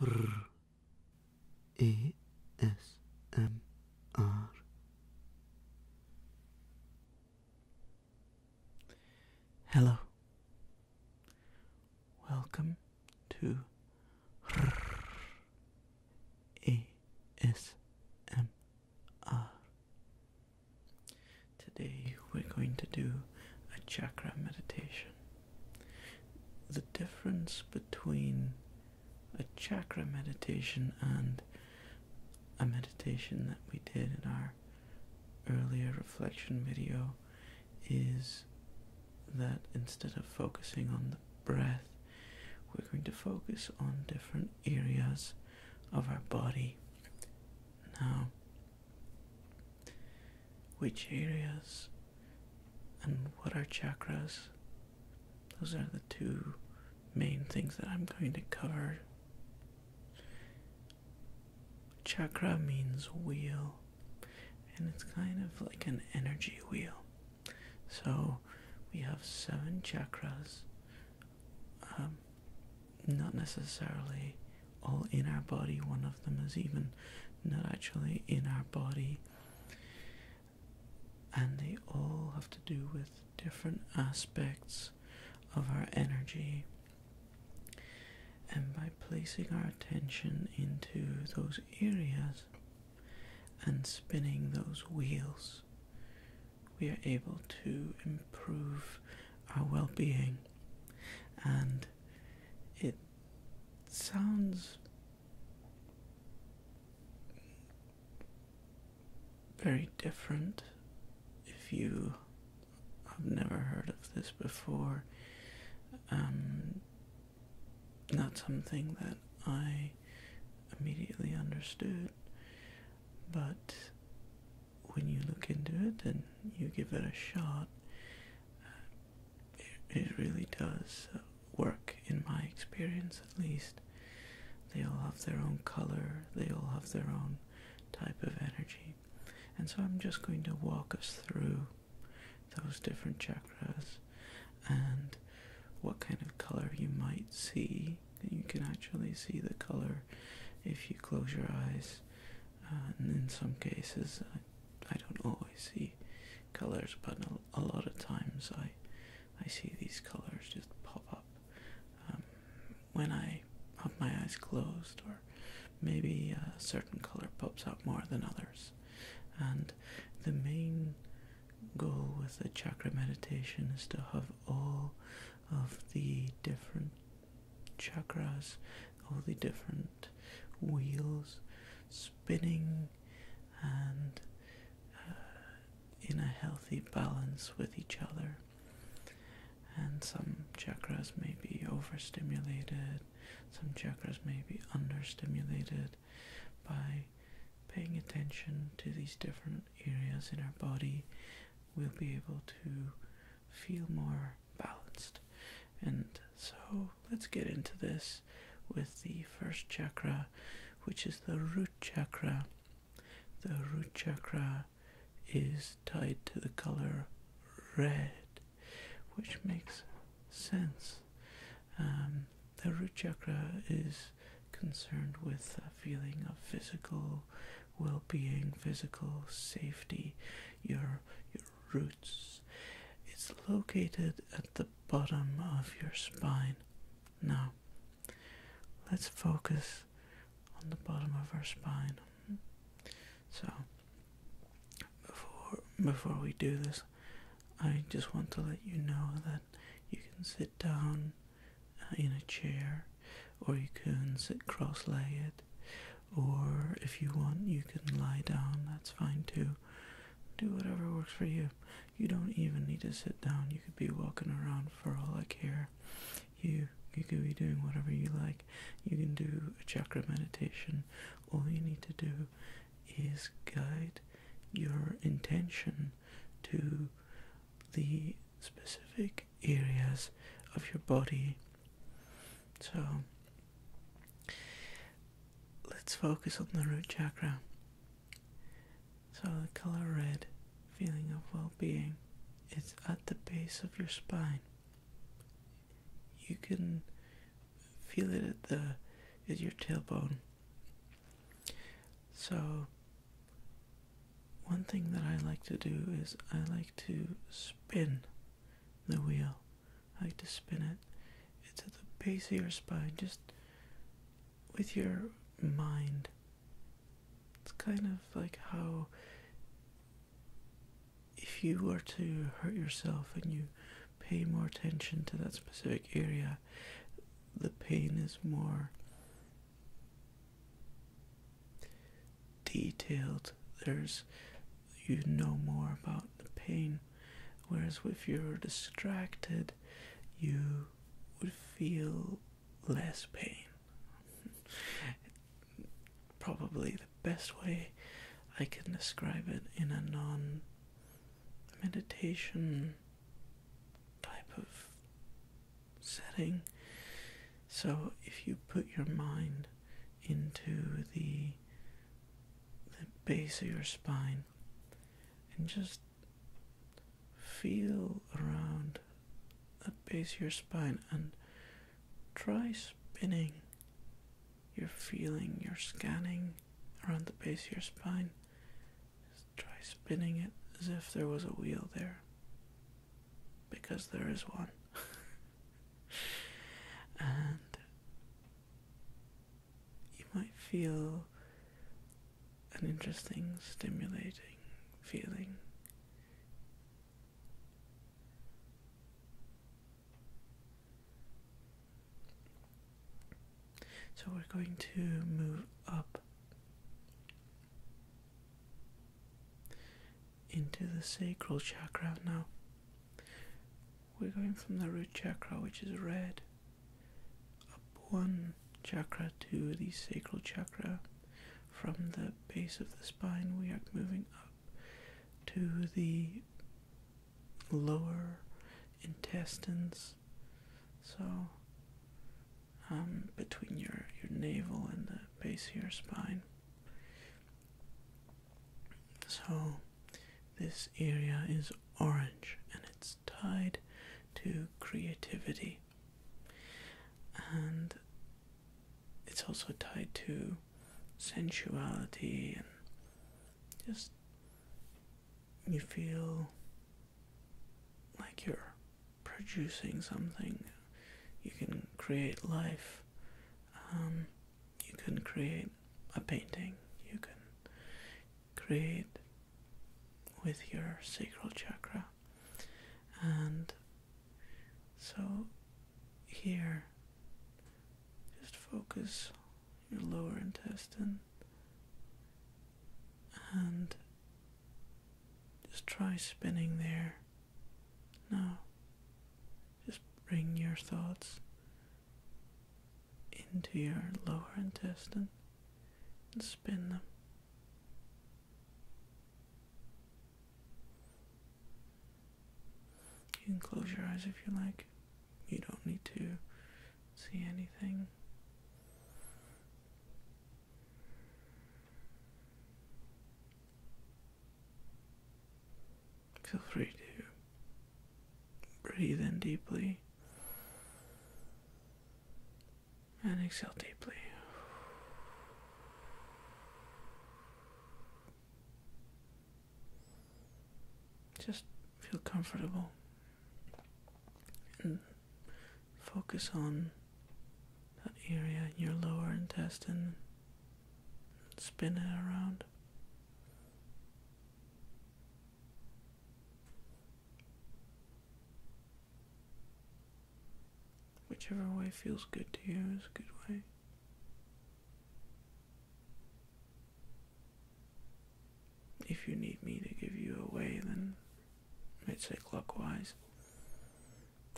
R A S M R Hello. Welcome to R A S M R. Today we're going to do a chakra meditation. The difference between a chakra meditation and a meditation that we did in our earlier reflection video is that instead of focusing on the breath, we're going to focus on different areas of our body. Now, which areas and what are chakras. Those are the two main things that I'm going to cover. Chakra means wheel, and it's kind of like an energy wheel. So we have seven chakras, um, not necessarily all in our body. One of them is even not actually in our body. And they all have to do with different aspects of our energy. And by placing our attention into those areas and spinning those wheels, we are able to improve our well being and it sounds very different if you have never heard of this before. Um, not something that I immediately understood, but when you look into it and you give it a shot, it, really does work in my experience at least. They all have their own color, they all have their own type of energy. And so I'm just going to walk us through those different chakras and what kind of color you might see. You can actually see the color if you close your eyes and in some cases I, don't always see colors but a, lot of times I I see these colors just pop up um, when I have my eyes closed or maybe a certain color pops up more than others and the main goal with the chakra meditation is to have all of the different chakras all the different wheels spinning and uh, in a healthy balance with each other. And some chakras may be overstimulated, some chakras may be understimulated by paying attention to these different areas in our body. We'll be able to feel more balanced. And so let's get into this with the first chakra, which is the root chakra. The root chakra is tied to the color red, which makes sense. Um, the root chakra is concerned with a feeling of physical well-being, physical safety roots. It's located at the bottom of your spine. Now, let's focus on the bottom of our spine. So, before, before we do this, I just want to let you know that you can sit down uh, in a chair or you can sit cross legged or if you want, you can lie down, that's fine too. Do whatever works for you. You don't even need to sit down, you could be walking around for all I care. You, you could be doing whatever you like. You can do a chakra meditation. All you need to do is guide your intention to the specific areas of your body. So, let's focus on the root chakra. So the color red, feeling of well-being, it's at the base of your spine. You can feel it at the at your tailbone. So one thing that I like to do is I like to spin the wheel I like to spin it. It's at the base of your spine, just with your mind. It's kind of like how if you were to hurt yourself and you pay more attention to that specific area, the pain is more detailed. There's you know more about the pain. Whereas if you're distracted, you would feel less pain. Probably the best way I can describe it in a non meditation type of setting. So if you put your mind into the the base of your spine and just feel around the base of your spine and try spinning. You're feeling, you're scanning around the base of your spine. Just try spinning it as if there was a wheel there. Because there is one. and you might feel an interesting, stimulating feeling. So we're going to move up into the sacral chakra now we're going from the root chakra, which is red, up one chakra to the sacral chakra. From the base of the spine, we are moving up to the lower intestines. So, um, between your, your navel and the base of your spine. So, this area is orange and it's tied to creativity, and it's also tied to sensuality and just you feel like you're producing something. You can create life. Um, you can create a painting you can create with your sacral chakra and so here just focus your lower intestine and just try spinning there now just bring your thoughts into your lower intestine and spin them. You can close your eyes if you like. You don't need to see anything feel free to breathe in deeply and exhale deeply. Just feel comfortable and focus on that area in your lower intestine. Spin it around. Whichever way feels good to you is a good way. If you need me to give you a way, then I'd say clockwise.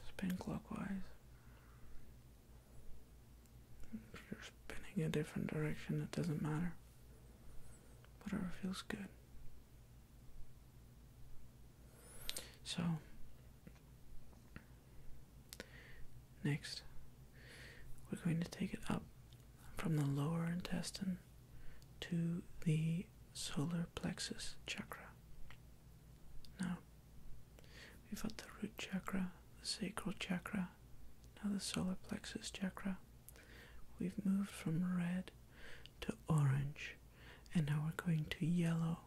Spin clockwise. Bending a different direction, it doesn't matter. Whatever feels good. So, next, we're going to take it up from the lower intestine to the solar plexus chakra. Now, we've got the root chakra, the sacral chakra, now the solar plexus chakra, we've moved from red to orange, and now we're going to yellow.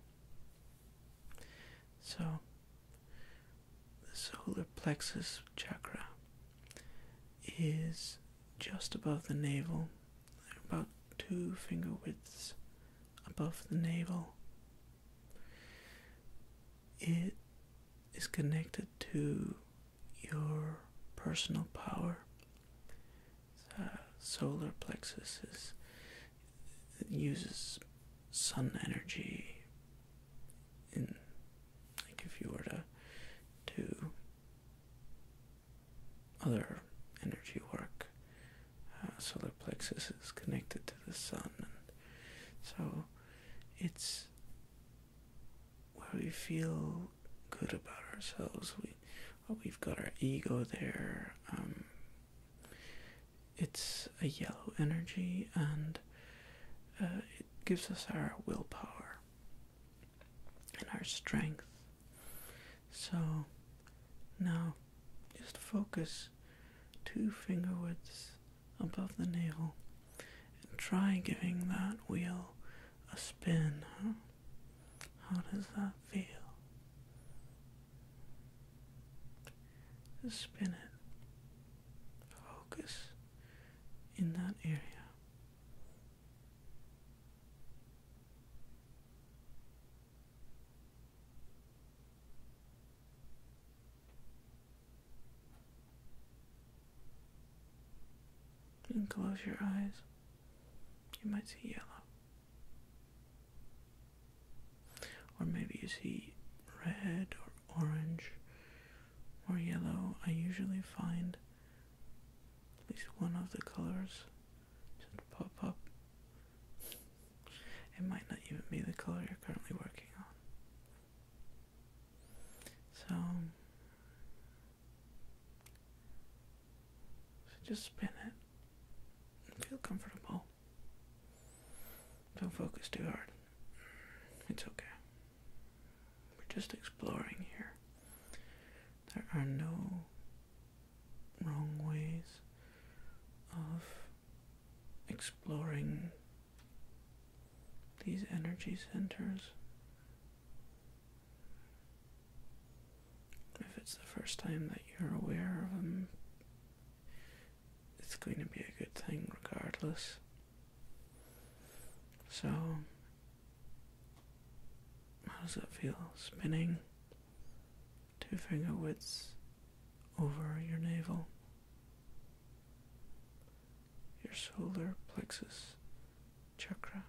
So, the solar plexus chakra is just above the navel, about two finger widths above the navel. It is connected to your personal power. solar plexus is, it uses sun energy. In like if you were to do other energy work, uh, solar plexus is connected to the sun, and so it's where we feel good about ourselves. We oh, we've got our ego there. Um, it's a yellow energy, and uh, it gives us our willpower and our strength. So now, just focus two finger widths above the navel, and try giving that wheel a spin. How does that feel? Just spin it. Focus in that area. You can close your eyes. You might see yellow. Or maybe you see red or orange or yellow. I usually find at least one of the colors should pop up. It might not even be the color you're currently working on. So, just spin it and feel comfortable. Don't focus too hard. It's okay. We're just exploring here. There are no wrong ways of exploring these energy centers. If it's the first time that you're aware of them, it's going to be a good thing regardless. So, how does it feel spinning two finger widths over your navel? your solar plexus chakra.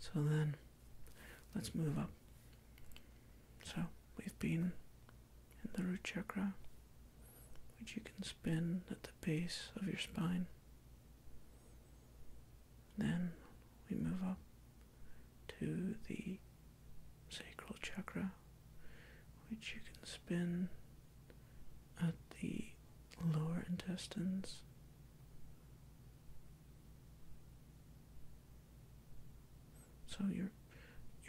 So then, let's move up. So we've been in the root chakra, which you can spin at the base of your spine. Then we move up to the sacral chakra, which you can spin at the lower intestines. So your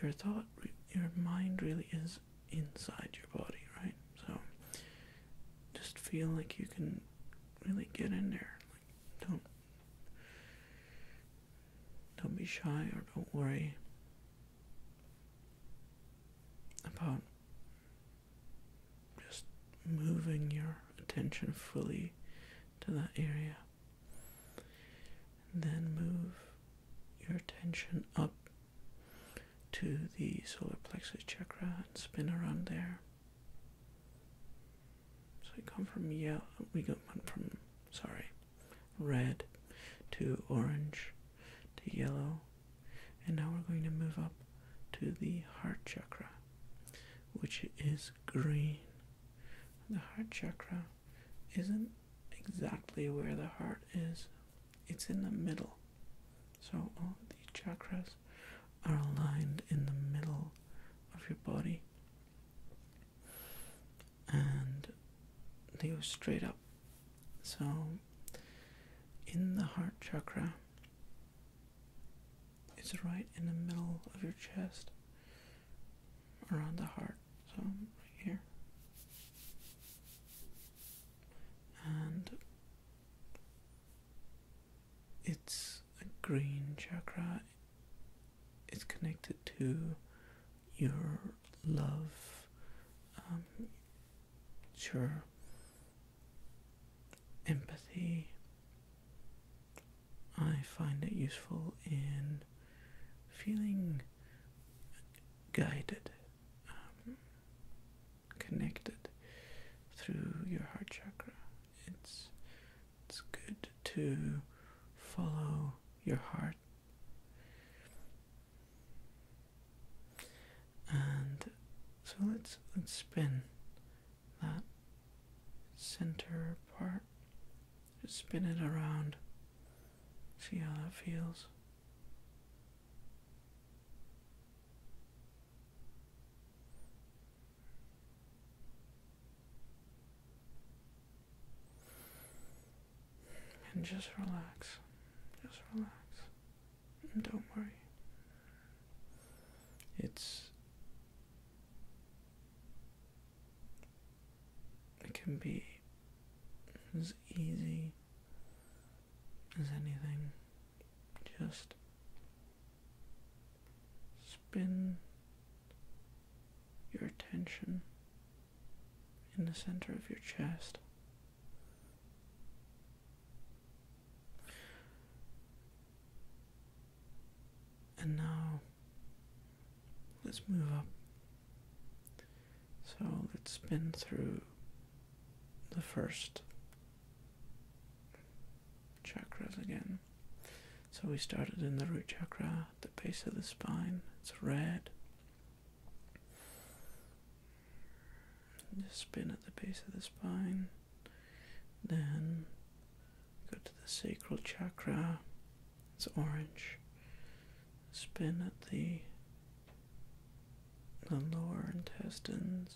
your thought, your mind really is inside your body, right? So just feel like you can really get in there, don't don't be shy or don't worry about just moving your attention fully to that area. And then move your attention up to the solar plexus chakra and spin around there. So we come from yellow. We go from sorry, red to orange to yellow, and now we're going to move up to the heart chakra, which is green. The heart chakra isn't exactly where the heart is; it's in the middle. So all of these chakras are aligned in the middle of your body and they go straight up. So, in the heart chakra, it's right in the middle of your chest, around the heart. So, right here. And it's a green chakra, it's connected to your love, um, your empathy. I find it useful in feeling guided, um, connected through your heart chakra. It's it's good to follow your heart. And so let's let's spin that center part. Just spin it around. See how that feels. And just relax. Just relax. And don't worry. It's. It can be as easy as anything. Just spin your attention in the center of your chest. And now let's move up. So let's spin through the first chakras again. So we started in the root chakra, the base of the spine. It's red. spin at the base of the spine. Then go to the sacral chakra. It's orange. Spin at the the lower intestines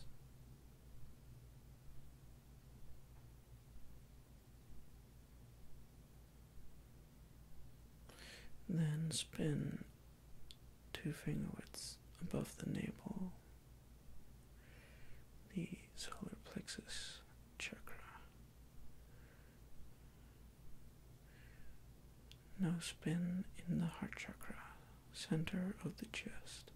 then spin two finger widths above the navel, the solar plexus chakra. Now spin in the heart chakra, center of the chest.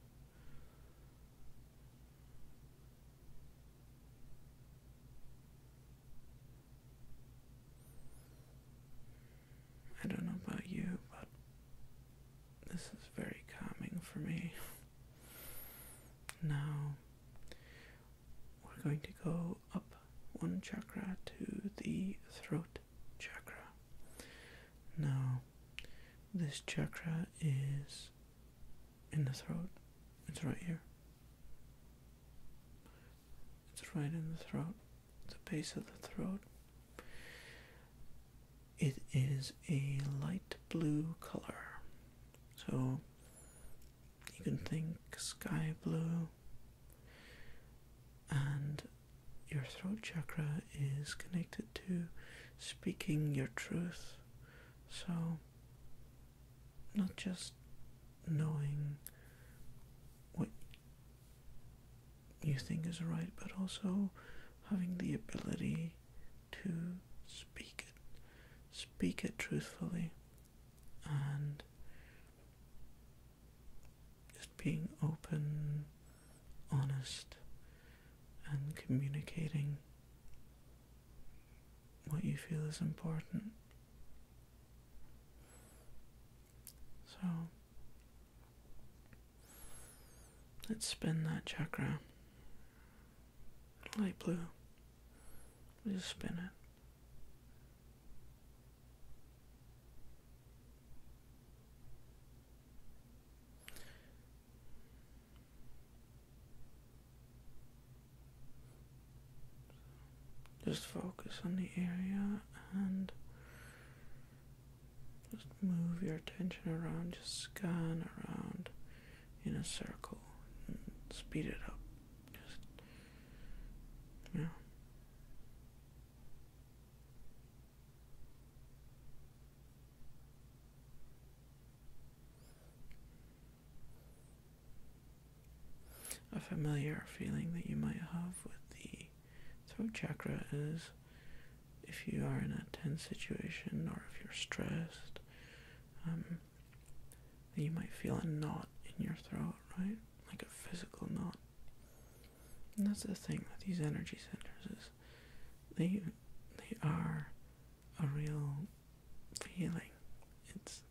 I don't know about you, but this is very calming for me. Now we're going to go up one chakra to the throat chakra. Now, this chakra is in the throat. It's right here. It's right in the throat, the base of the throat. It is a light blue color. So you can think sky blue. And your throat chakra is connected to speaking your truth. So not just knowing what you think is right, but also having the ability to speak it, speak it truthfully, and just being open, honest, and communicating what you feel is important. So let's spin that chakra light blue. just spin it. Just focus on the area and just move your attention around, just scan around in a circle and speed it up. yeah. A familiar feeling that you might have with the throat chakra is if you are in a tense situation or if you're stressed, um, you might feel a knot in your throat, right? Like a physical knot. And that's the thing with these energy centers is they they are a real feeling. It's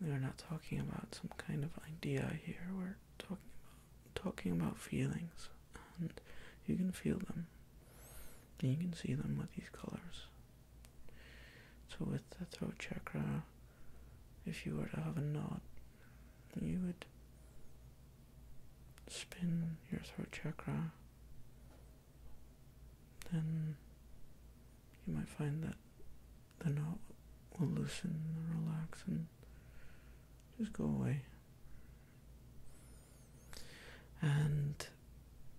they're not talking about some kind of idea here. We're talking about talking about feelings, and you can feel them. And you can see them with these colors. So with the throat chakra, if you were to have a knot, you would spin your throat chakra, then you might find that the knot will loosen and relax and just go away. And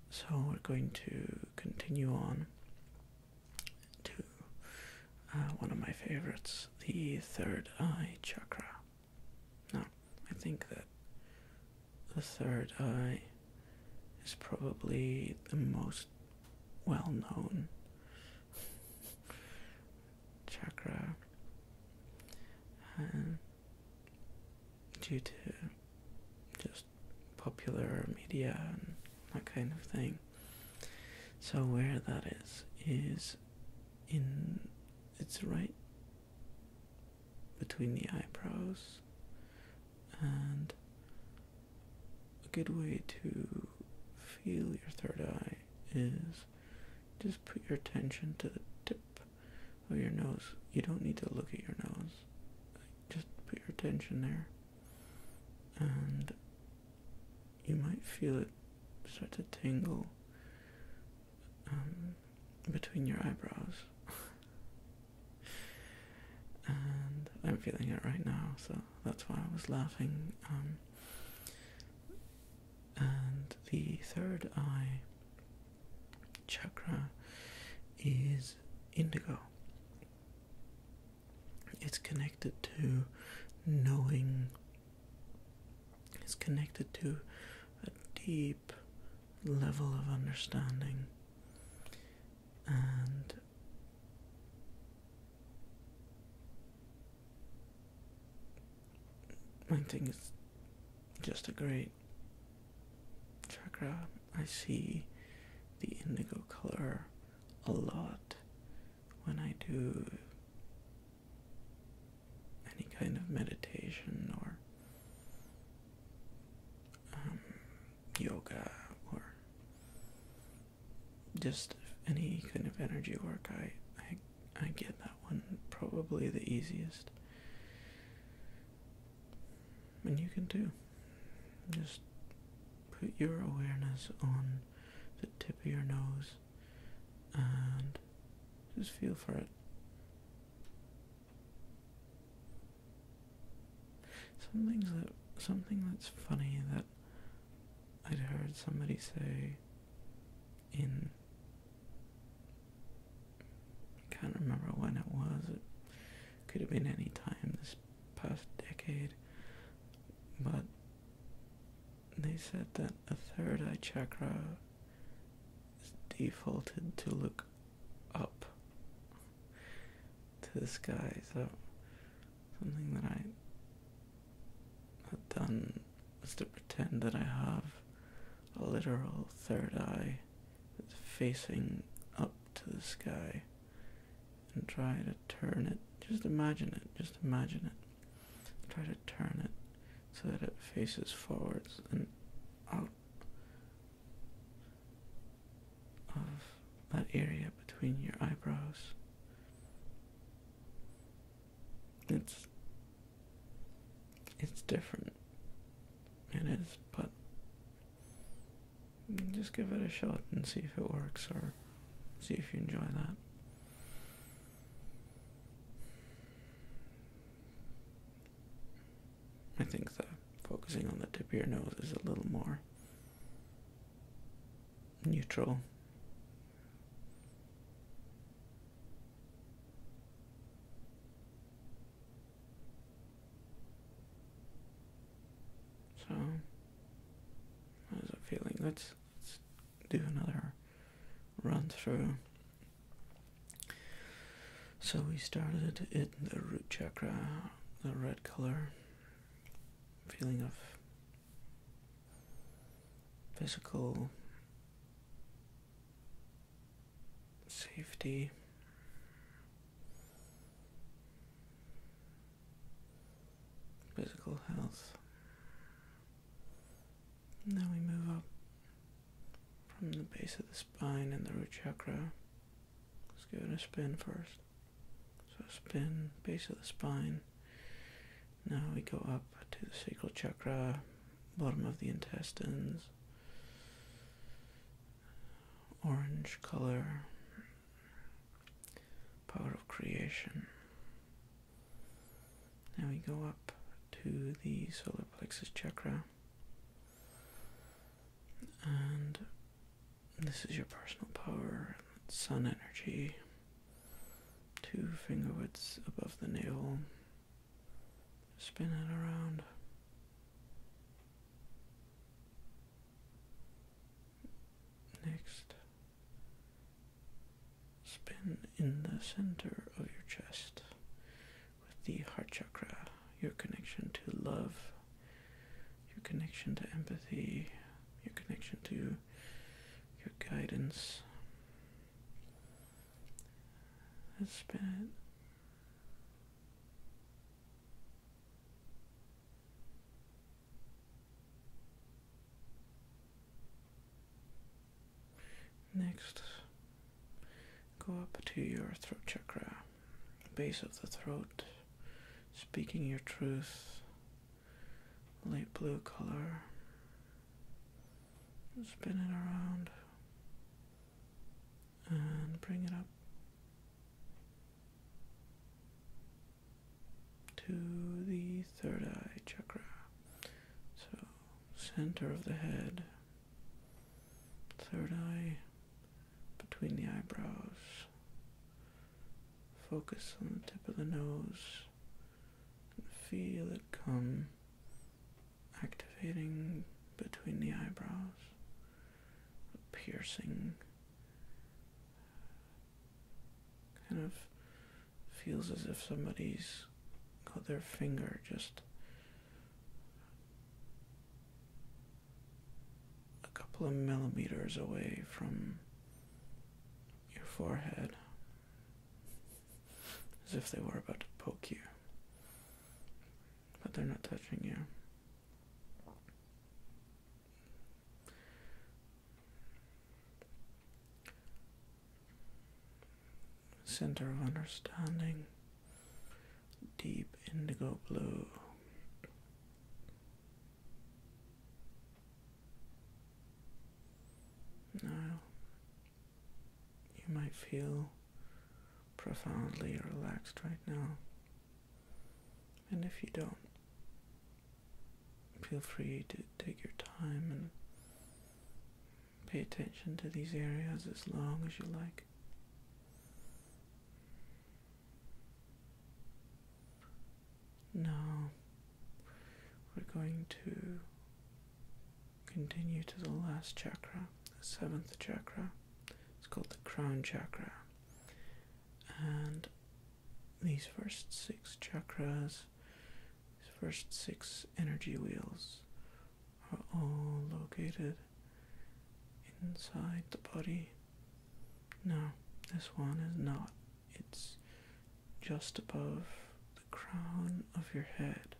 so we're going to continue on to uh, one of my favorites, the third eye chakra. Now, I think that the third eye is probably the most well known chakra due to just popular media and that kind of thing. So where that is is in it's right between the eyebrows and a good way to feel your third eye is just put your attention to the tip of your nose. You don't need to look at your nose. Just put your attention there, and you might feel it start to tingle um, between your eyebrows. and I'm feeling it right now, so that's why I was laughing. Um, and the third eye chakra is indigo. It's connected to knowing, it's connected to a deep level of understanding and I thing is just a great chakra. I see the indigo color a lot when I do any kind of meditation or um, yoga or just any kind of energy work I, I I get that one probably the easiest and you can too just put your awareness on the tip of your nose and just feel for it Something that something that's funny that I'd heard somebody say in I can't remember when it was. It could have been any time this past decade, but they said that the third eye chakra is defaulted to look up to the sky. So Something that I had done was to pretend that I have a literal third eye that's facing up to the sky and try to turn it. Just imagine it, just imagine it. Try to turn it so that it faces forwards and out of that area between your eyebrows. It's it's different. It is, but just give it a shot and see if it works or see if you enjoy that. I think the focusing on the tip of your nose is a little more neutral. So, how's it feeling? Let's, let's do another run through. So we started in the root chakra, the red color, feeling of physical safety. Physical health. Now we move up from the base of the spine and the root chakra. Let's give it a spin first. So spin, base of the spine. Now we go up to the sacral chakra, bottom of the intestines, orange color, power of creation. Now we go up to the solar plexus chakra and this is your personal power, sun energy, two finger widths above the nail, Spin it around. Next, spin in the center of your chest with the heart chakra, your connection to love, your connection to empathy, your connection to your guidance has been Next, go up to your throat chakra, base of the throat, speaking your truth, light blue color. Spin it around and bring it up to the third eye chakra. So, center of the head, third eye, between the eyebrows, Focus on the tip of the nose and feel it come activating between the eyebrows, piercing. Kind of feels as if somebody's got their finger just a couple of millimeters away from your forehead, as if they were about to poke you, but they're not touching you. Center of understanding, deep indigo blue. Now you might feel profoundly relaxed right now, and if you don't, feel free to take your time and pay attention to these areas as long as you like. Now we're going to continue to the last chakra, the seventh chakra. It's called the crown chakra. And these first six chakras, these first six energy wheels, are all located inside the body. Now, this one is not. It's just above the crown of your head.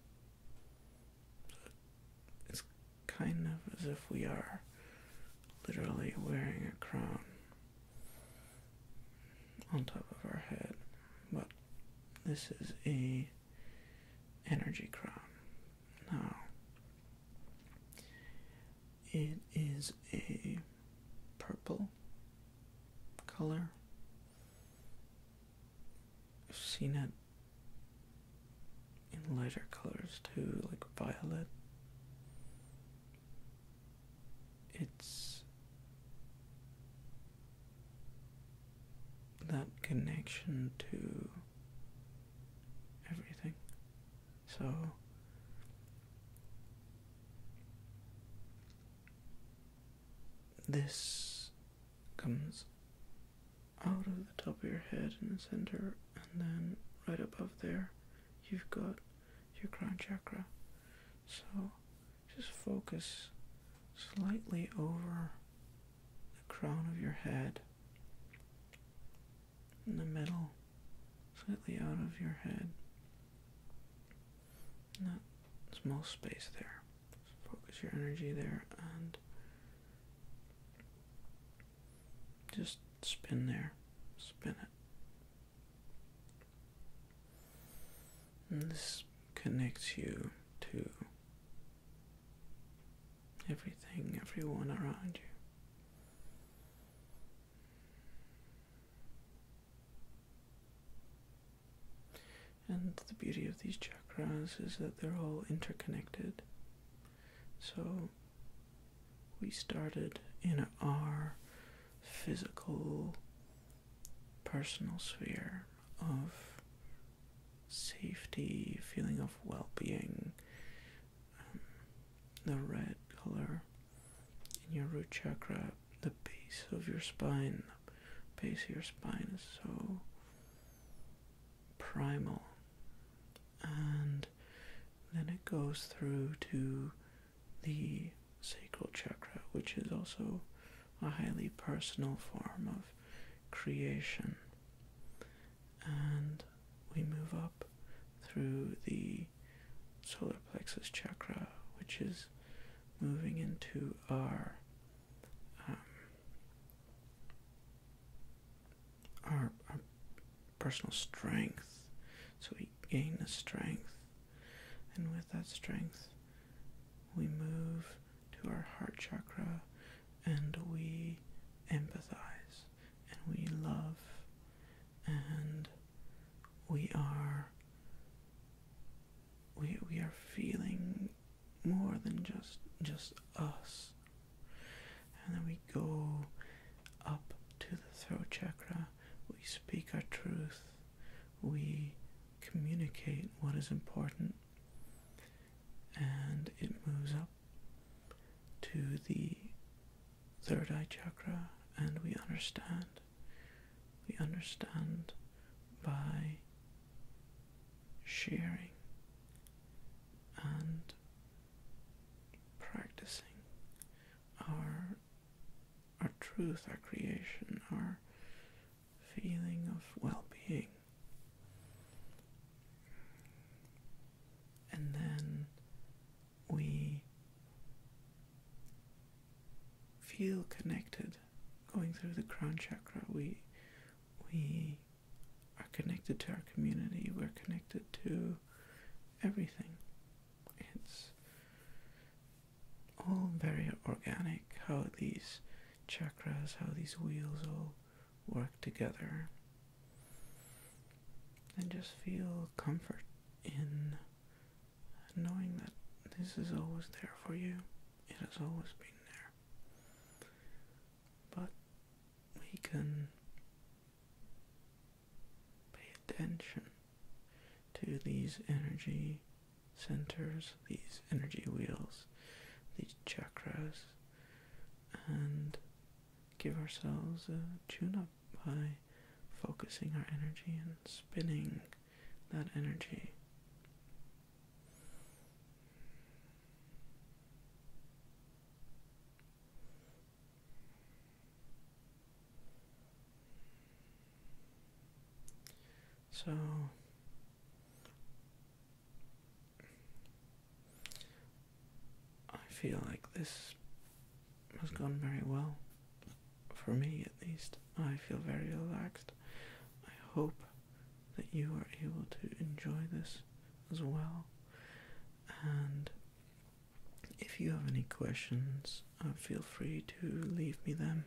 it's kind of as if we are literally wearing a crown on top of our head, but this is a energy crown. Now, it is a purple color. I've seen it in lighter colors too, like violet. It's that connection to everything. So this comes out of the top of your head in the center, and then right above there, you've got your crown chakra. So just focus slightly over the crown of your head in the middle slightly out of your head. Not small space there. Focus your energy there and just spin there. Spin it. And this connects you to everything, everyone around you. And the beauty of these chakras is that they're all interconnected. So we started in our physical, personal sphere of safety, feeling of well being. Um, the red color in your root chakra, the base of your spine, the base of your spine is so primal, and then it goes through to the sacral chakra, which is also a highly personal form of creation, and we move up through the solar plexus chakra, which is moving into um, our our personal strength. So we gain the strength, and with that strength, we move to our heart chakra, and we empathize, and we love, and we are we we are feeling more than just just us and then we go up to the throat chakra we speak our truth we communicate what is important and it moves up to the third eye chakra and we understand we understand by sharing and practicing our our truth, our creation, our feeling of well-being. And then we feel connected going through the crown chakra we we are connected to our community we're connected to everything it's all very organic how these chakras how these wheels all work together and just feel comfort in and knowing that this is always there for you, it has always been there. But we can pay attention to these energy centers, these energy wheels, these chakras, and give ourselves a tune up by focusing our energy and spinning that energy. So I feel like this has gone very well. For me, at least, I feel very relaxed. I hope that you are able to enjoy this as well. And if you have any questions, uh, feel free to leave me them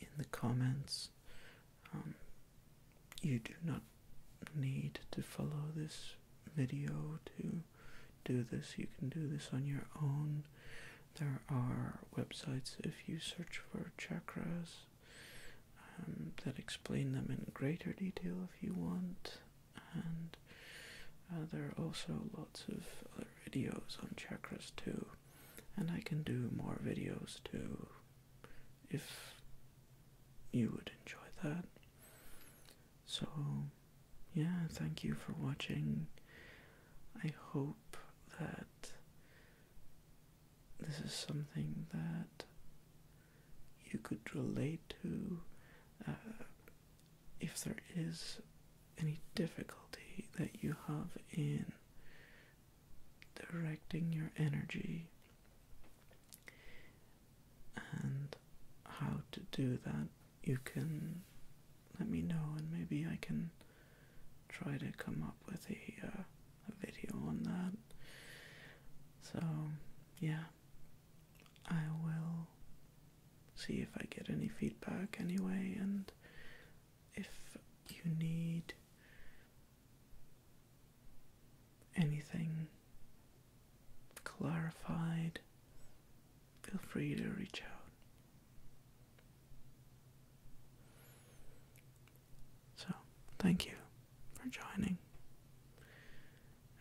in the comments. Um, you do not need to follow this video to do this. You can do this on your own. There are websites if you search for chakras um, that explain them in greater detail if you want, and uh, there are also lots of other videos on chakras too. And I can do more videos too if you would enjoy that. So yeah, thank you for watching. I hope that this is something that you could relate to. Uh, if there is any difficulty that you have in directing your energy and how to do that you can let me know, and maybe I can try to come up with uh, a, video on that. So, yeah, I will see if I get any feedback anyway, and if you need anything clarified, feel free to reach out. So, thank you for joining,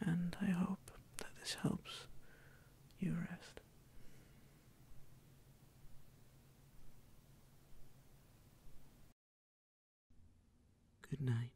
and I hope that this helps you rest. Good night.